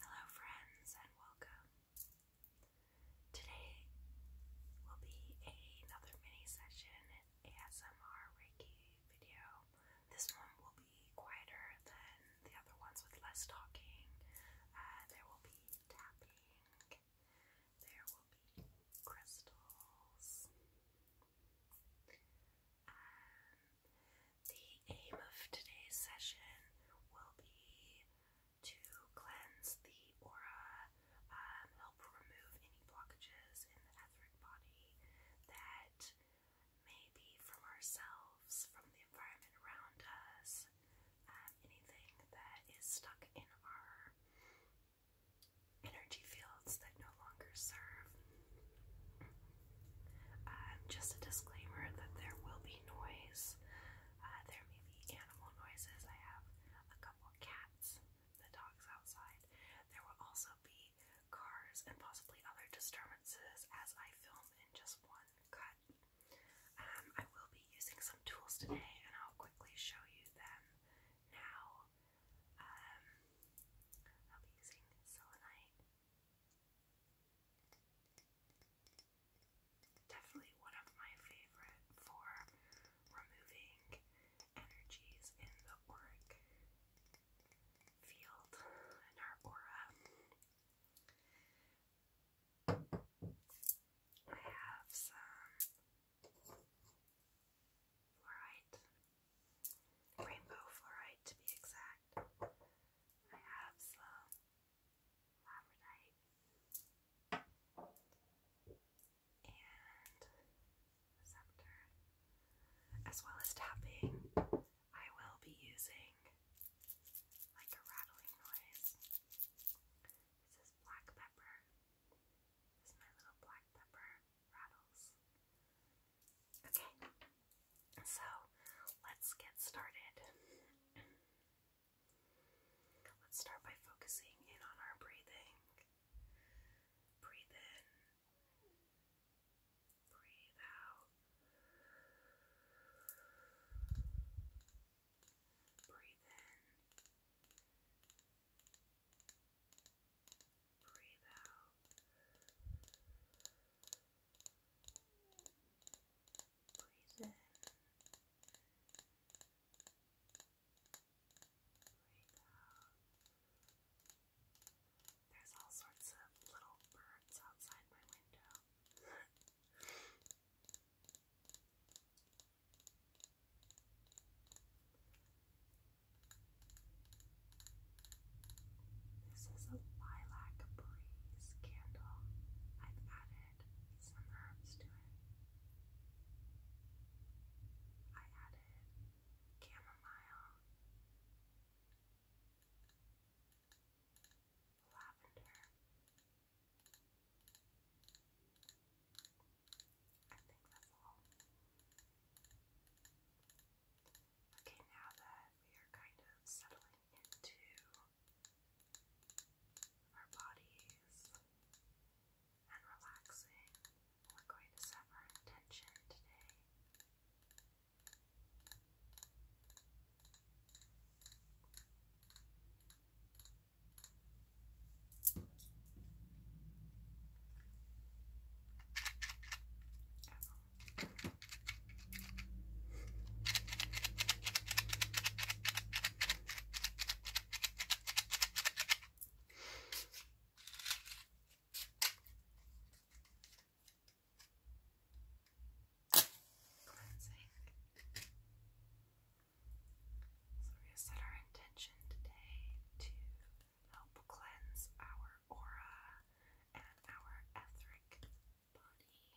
Hello, friends, and welcome. Today will be another mini session ASMR Reiki video. This one will be quieter than the other ones with less talking. Uh, there will be tapping, there will be crystals, the aim of today's session will be to cleanse the aura, um, help remove any blockages in the etheric body that may be from ourselves, from the environment around us, um, anything that is stuck in our energy fields that no longer serve uh, just a disclaimer that there will be noise. Uh, there may be animal noises. I have a couple cats, the dogs outside. There will also be cars and possibly other disturbances as I film in just one cut. Um, I will be using some tools today and I'll quickly show you them now. Um, I'll be using selenite. Definitely one of my favorite for removing energies in the auric field in our aura. I have some fluorite, rainbow fluorite to be exact. I have some labradorite and receptor, as well as tapping. I will be using like a rattling noise. This is black pepper. This my little black pepper rattles. Okay, so let's get started. Let's start by focusing in on our breathing. Breathe in, breathe out, breathe in, breathe out. Breathe in. Breathe out. There's all sorts of little birds outside my window. This is a lilac breeze candle. I've added some herbs to it. I added chamomile, lavender. I think that's all. Okay, now that we are kind of settling into our bodies and relaxing. We're going to set our intention today. Cleansing. So we set our intention today to help cleanse our aura and our etheric body. And if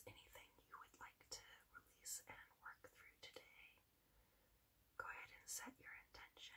there's anything you would like to release and work through today, go ahead and set your intention.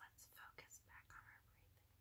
Let's focus back on our breathing.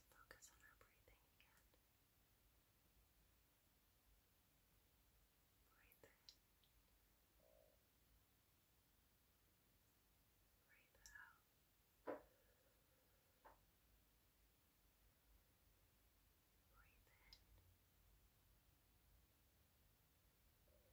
Let's focus on our breathing again. Breathe in. Breathe out. Breathe in.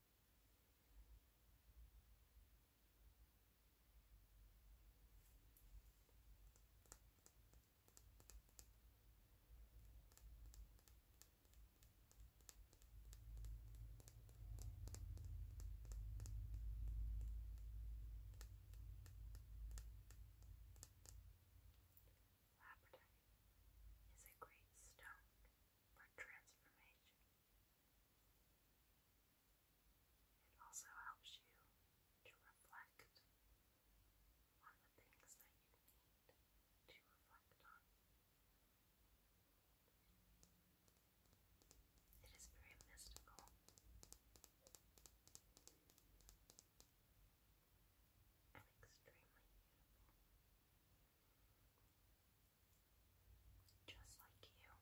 Labradorite is a great stone for transformation. It also helps you to reflect on the things that you need to reflect on. It is very mystical. And extremely beautiful just like you. Just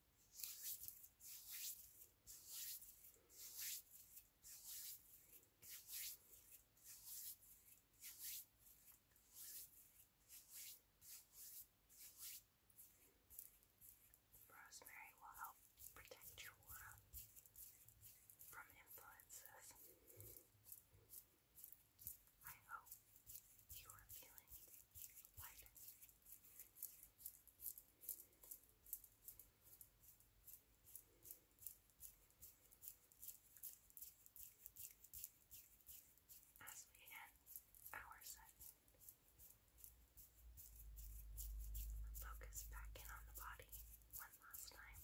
Rosemary will help protect your aura from influences. I hope you are feeling lighter. As we end our segment, focus back in on the body one last time.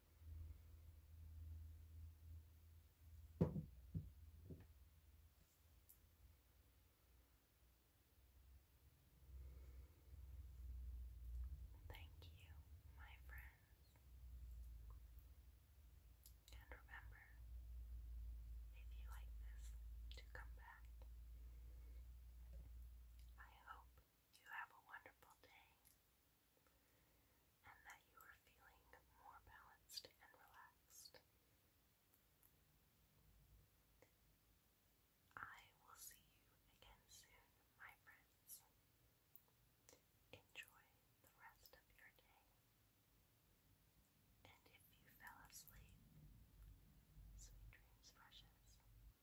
Thank you, my friends. And remember, if you like this, to come back. I hope you have a wonderful day and that you are feeling more balanced and relaxed. I will see you again soon, my friends. Enjoy the rest of your day. And if you fell asleep, sweet dreams, precious.